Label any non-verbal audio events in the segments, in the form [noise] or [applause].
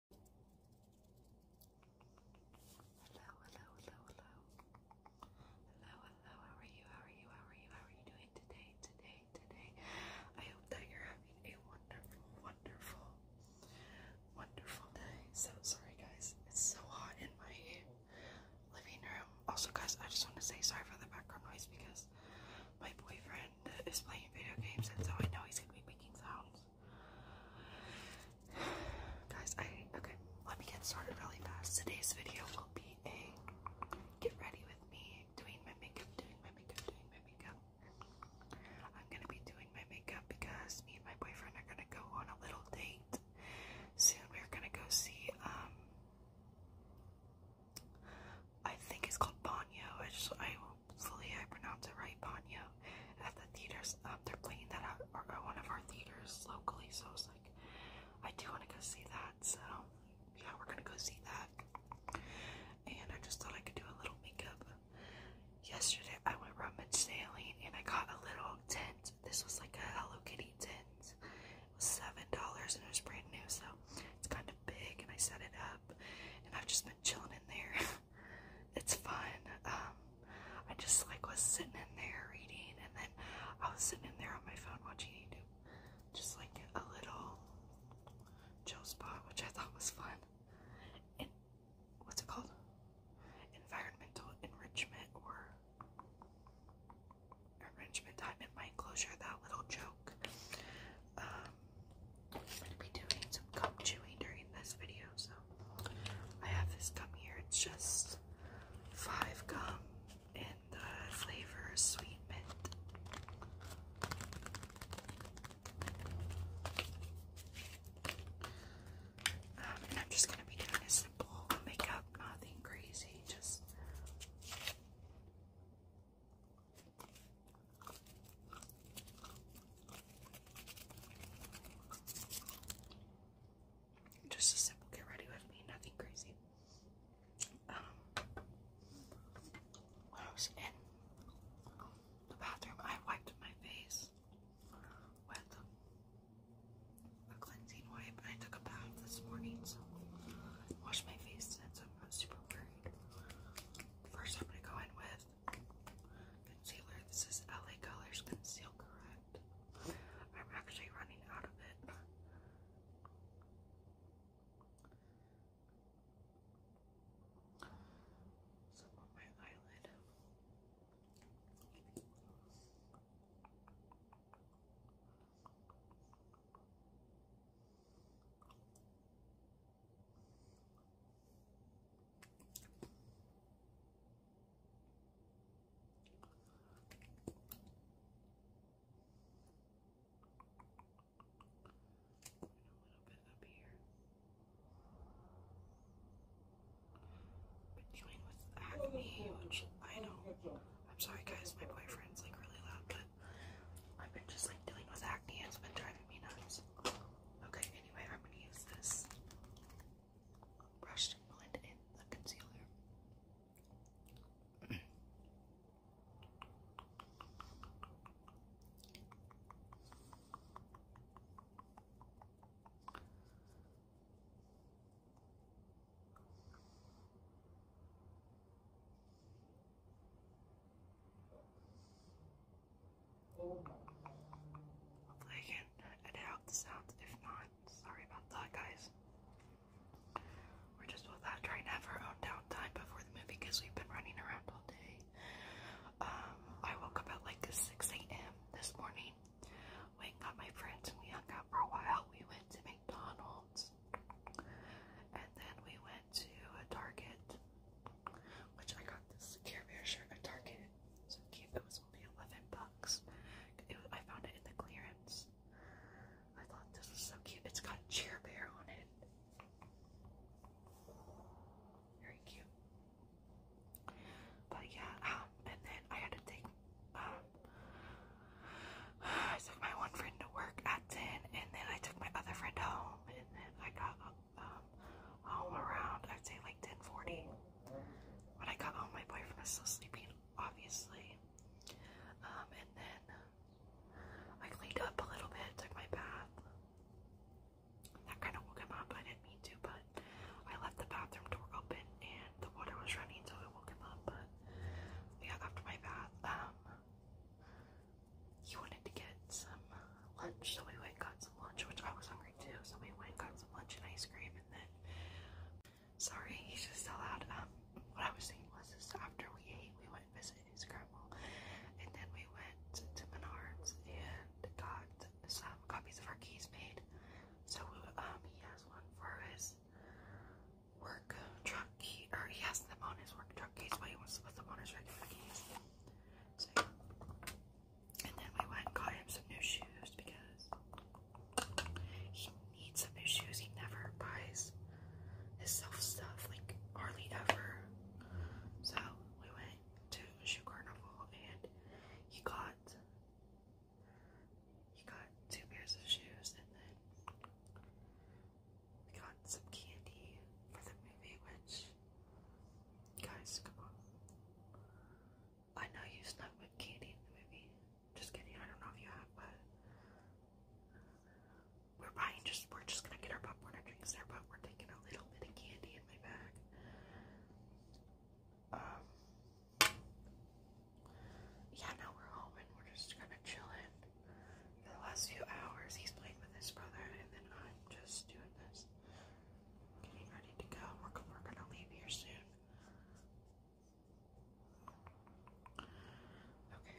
Hello, hello, hello, hello. Hello, hello, how are you? How are you? How are you? How are you doing today? Today, today. I hope that you're having a wonderful, wonderful, wonderful day. So sorry guys, it's so hot in my living room. Also guys, I just want to say sorry for the background noise because my boyfriend is playing video games and so I know he's gonna be making sounds. Guys, I okay, let me get started really fast. Today's video will be a get ready with me doing my makeup, doing my makeup, doing my makeup. I'm gonna be doing my makeup because me and my boyfriend are gonna go on a little date soon. We're gonna go see um, I think it's called Banyo. I just I hopefully I pronounced it right, Ponyo, at the theaters. Um, they're playing that at, our, at uh, one of our theaters locally, so I was like, I do want to go see that. So yeah, we're gonna go see that. And I just thought I could do a little makeup. Yesterday I went rummage sailing and I got a little tent. This was like a Hello Kitty tent. It was seven dollars and it was brand new, so it's kind of big. And I set it up, and I've just been chilling in there. [laughs] it's fun. Um, I just like was sitting in there reading, and then I was sitting in there on my phone watching YouTube, just like a little joke spot, which I thought was fun. And what's it called? Environmental enrichment or enrichment time in my enclosure. That little joke. Um, I'm going to be doing some gum chewing during this video, so I have this gum here. It's just five gum in the flavor sweet mint. Um, and I'm just going to be doing a simple makeup, nothing crazy, just just a simple get ready with me, nothing crazy. when I was in the bathroom, I wiped my face with a cleansing wipe. I took a bath this morning, so I my face since I'm super worried. First, I'm gonna go in with Concealer. This is LA Colors Conceal Correct. I'm actually running out of it. Some on my eyelid bit up here. But join with acne, which I know. I'm sorry guys, my boyfriend's like really loud, but I've been just like dealing with acne. and It's been driving me nuts. Okay, anyway, I'm going to use this brush to blend in the concealer. I can edit out the sounds. If not, sorry about that, guys. We're just without trying to have our own downtime before the movie because we've been running around all day. Um, I woke up at like 6 a.m. this morning. Went got my friends and we hung out for a while. We went to McDonald's and then we went to a Target which I got this cheer Bear shirt at Target. So cute. It was only 11 bucks. I found it in the clearance. I thought this was so cute. It's got Cheer Bear on it. Very cute. But yeah, um, and then I had to take, um, [sighs] I took my one friend to work at 10, and then I took my other friend home, and then I got um, um, home around, I'd say like 1040. When I got home, my boyfriend was still sleeping, obviously. Um, and then I cleaned up a little bit, took my bath. That kind of woke him up. I didn't mean to, but I left the bathroom door open and the water was running, so it woke him up. But yeah, after my bath, um, he wanted to get some lunch, so we went got some lunch, which I was hungry hungry too, so we went and got some lunch and ice cream, and then, sorry, he's just so loud, um, what I was saying was, is after we ate, we went and visited his grandma, and then we went to Menards and got some copies of our keys made, so, um, he has one for his work truck key, or he has them on his work truck keys, but he wants to put them on his regular keys, so, yeah. And then we went and got him some new shoes because he needs some new shoes. He never buys his self stuff, like hardly ever. So we went to a Shoe Carnival and he got he got two pairs of shoes and then we got some candy for the movie, which guys come on. I know you slept with Katie in the movie. Just kidding, I don't know if you have, but we're buying just we're just gonna get our popcorn and drinks there, but we're taking a little bit of candy in my bag. Um Yeah, now we're home and we're just gonna chill for the last few hours. He's playing with his brother and then I'm just doing this getting ready to go. We're, we're gonna leave here soon. Okay.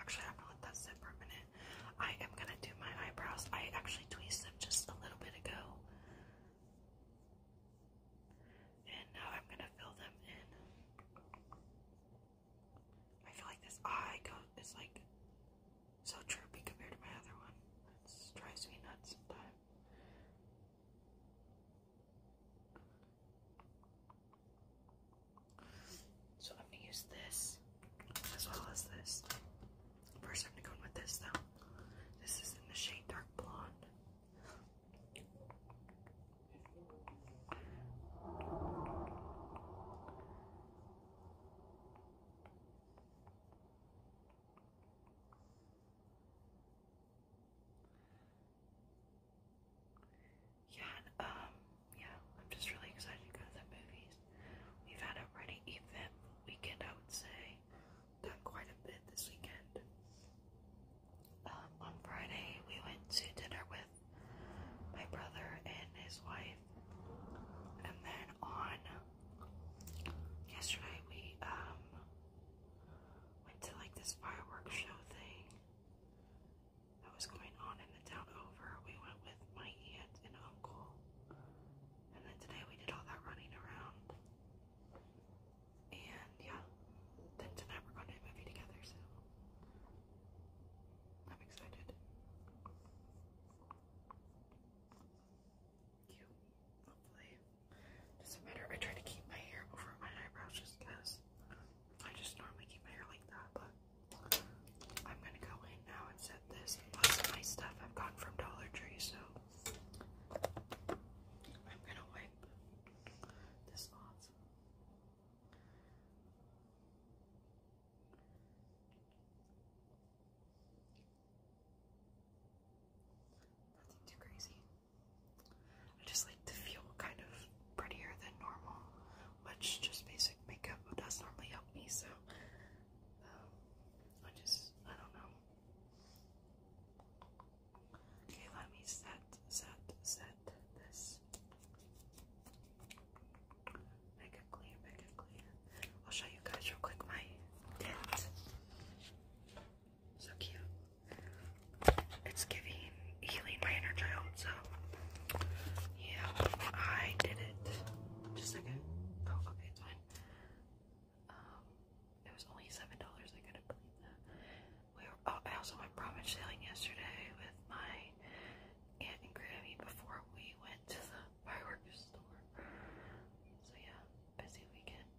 Actually, I'm gonna let that sit for a minute. I am gonna do my eyebrows. I actually tweezed them just a little bit ago. And now I'm gonna fill them in. I feel like this eye is like so droopy compared to my other one. It drives me nuts sometimes. So I'm gonna use this as well as this. First, I'm gonna go in with this though. This is in the shade dark blonde. Yeah, um, yeah, I'm just really excited to go to the movies. We've had a pretty even weekend, I would say. Done quite a bit this weekend. Um, on Friday, we went to dinner with my brother and his wife. And then on yesterday we um went to like this fireworks show thing that was going on in the town over. We went with my aunt and uncle. And then today we did all that running around. And yeah. Then tonight we're going a movie together, so I'm excited. Cute, hopefully. Doesn't matter. I try to keep my hair over my eyebrows just because I just normally keep my hair like that, but I'm gonna go in now and set this. Plus my stuff I've gotten from Dollar Tree, so I'm gonna wipe this off. Nothing too crazy. I just like to feel kind of prettier than normal, which just basic makeup does normally help me, so um, I just, I don't know. Okay, let me set, set, set this. Make it clear, make it clear. I'll show you guys real quick my tint. So cute. It's giving healing my inner child, so yeah, I did it. Just a second. Oh, okay, it's fine. Um, it was only seven dollars. I couldn't believe that. We oh, also went prom and sailing yesterday with my Aunt and Grammy before we went to the fireworks store. So yeah, busy weekend.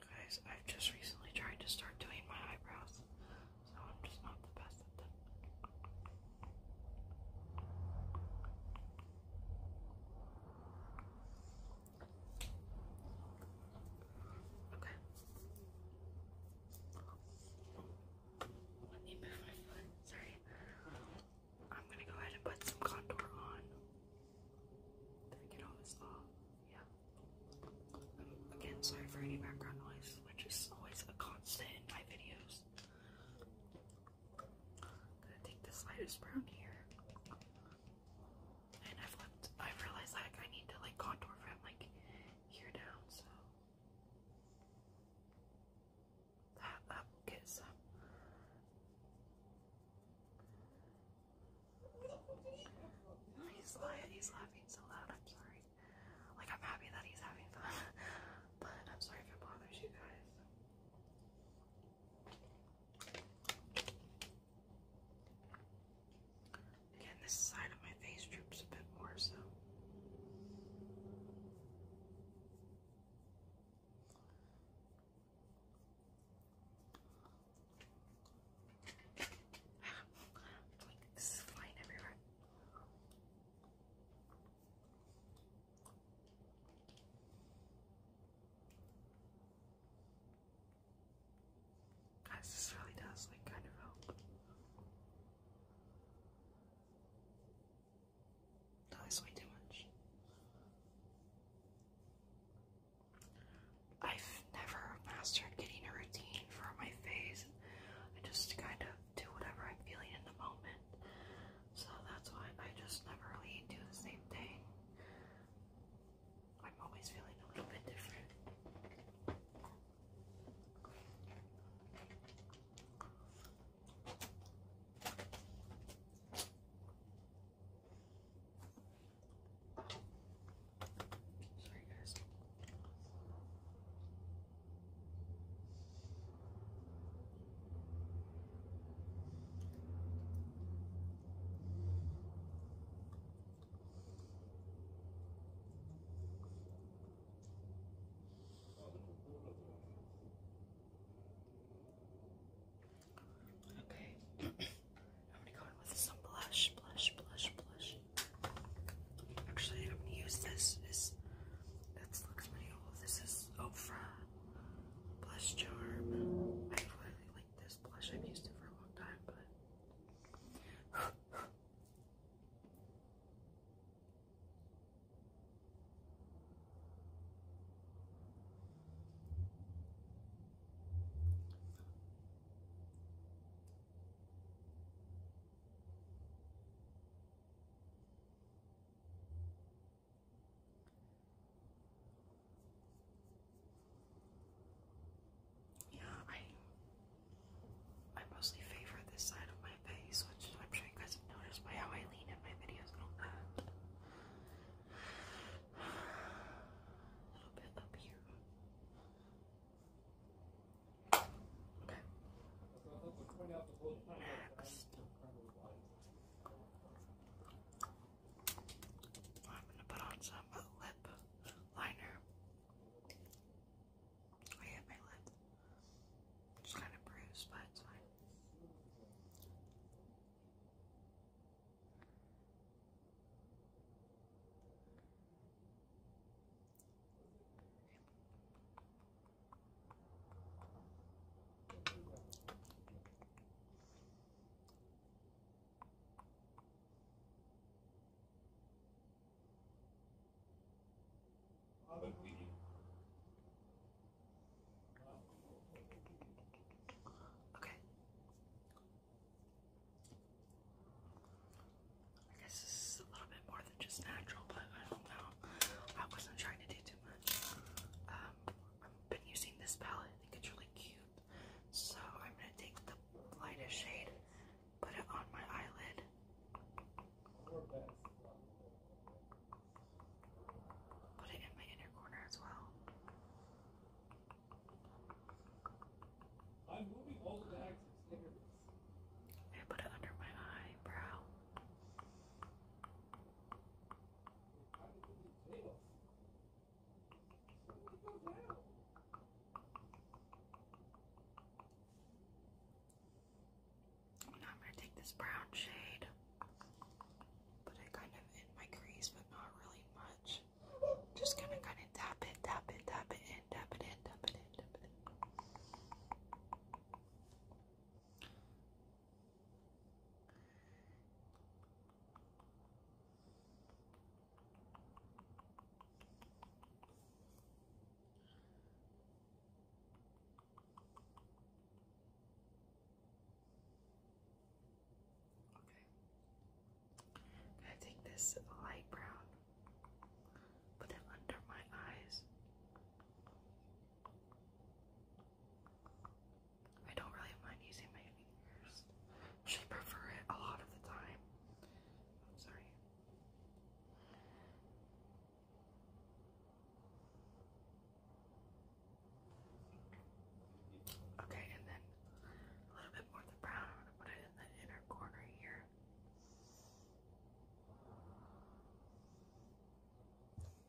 Guys, I've just recently tried to start doing my eyebrows, so I'm just not the best at them. Okay. Let me move my foot. Sorry. I'm gonna go ahead and put some contour on. Did I off? Yeah. again, sorry for any background noise, which is always a constant in my videos gonna take this lightest brown here. And I've I've realized like I need to like contour from like here down, so that up gets up. He's, he's laughing so loud, I'm sorry. Like, I'm happy that he's having fun, [laughs] but I'm sorry if it bothers you guys. Again, this side of my face droops a bit more, so. [laughs] like, flying everywhere. Guys, this really does like kind of help. No, way too much. I've never mastered getting a routine for my face. I just kind of do whatever I'm feeling in the moment. So that's why I just never really do the same thing. I'm always feeling a little bit different. Sorry, guys. Okay, I'm gonna go in with some blush, blush, blush, blush. Actually, I'm gonna use this. This, that's looks old? This is Ofra Blush Charm. I really like this blush. I've used it for a long time, but yeah, I I mostly favor this side of my face, which I'm sure you guys have noticed by how I lean in my videos and all that. A little bit up here. Okay. I'm gonna put on some lip liner. I hit my lip. It's kind of bruised, but it's fine. Okay. I guess this is a little bit more than just natural, but I don't know. I wasn't trying to do too much. Um, been using this palette. I think it's really cute. So I'm gonna take the lightest shade, put it on my eyelid. Put it in my inner corner as well. i put it under my eyebrow. Now I'm going to take this brown shade, put it kind of in my crease, but not really much. Just going to kind of tap it, tap it, tap it in, tap it in, tap it in, tap it in. Okay. i take this light brown, put it under my eyes. I don't really mind using my fingers. I prefer it a lot of the time. I'm sorry. Okay, and then a little bit more of the brown. put it in the inner corner here.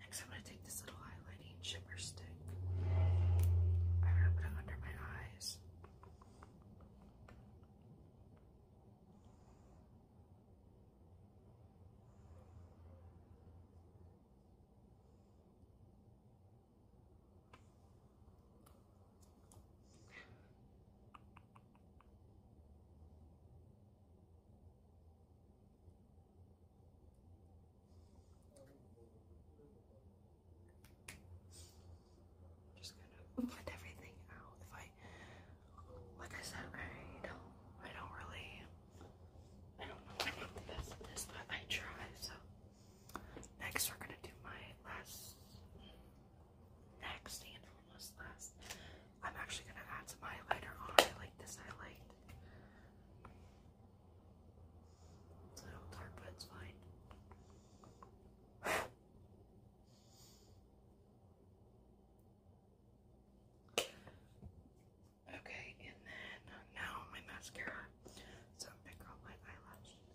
Next, I'm going to take this little highlighting shimmer stick. I'm going to put it under my eyes. Just gonna blend everything out. If I, like I said, I don't, I don't really, I don't know I'm the best at this, but I try. So next, we're gonna do my last, next and almost last I'm actually gonna add some highlighter on. I like this highlight. It's a little dark, but it's fine. okay, and then now my mascara. So I'm going up my eyelashes.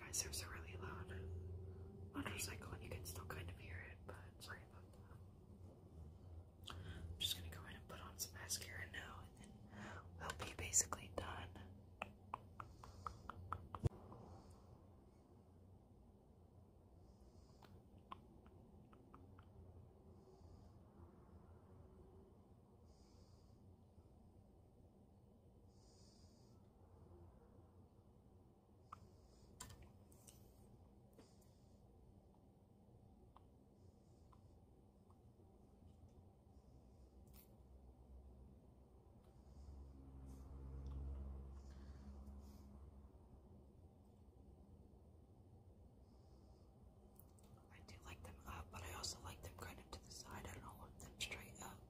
guys, there's a really loud motorcycle and you can still kind of hear it, but I'm just gonna go in and put on some mascara now and then we'll be basically done. I do like them up, but I also like them kind of to the side. I don't want them straight up.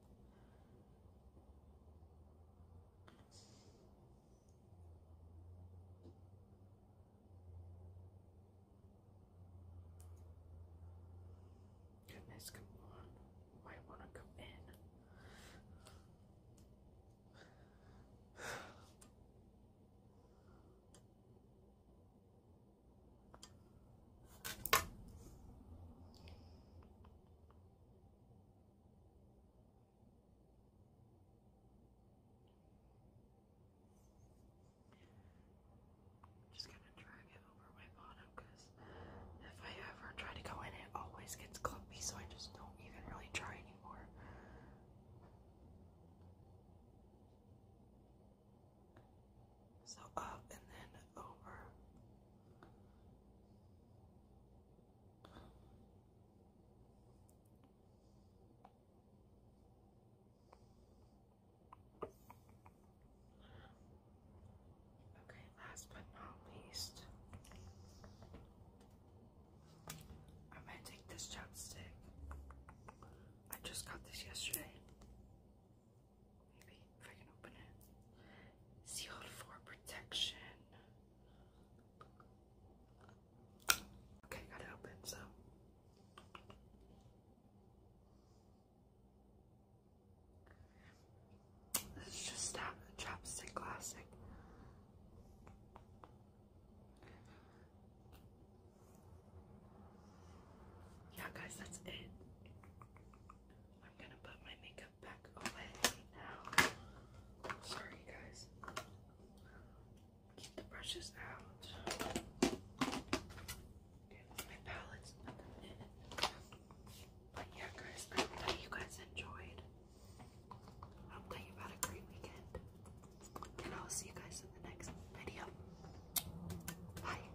Goodness, come on. I want to go in. Just gonna drag it over my bottom because if I ever try to go in, it always gets clumpy, so I just don't even really try anymore. So up and then over. Okay, last but not least, I'm gonna take this chapstick. I just got this yesterday. Maybe if I can open it. Sealed for protection. Okay, got it open, so. This is just a chapstick classic. Yeah, guys, that's it. I'm gonna put my makeup back away now. Sorry, guys. Keep the brushes out. Okay, my palettes. But yeah, guys, I hope you guys enjoyed. I hope that you a great weekend. And I'll see you guys in the next video. Bye.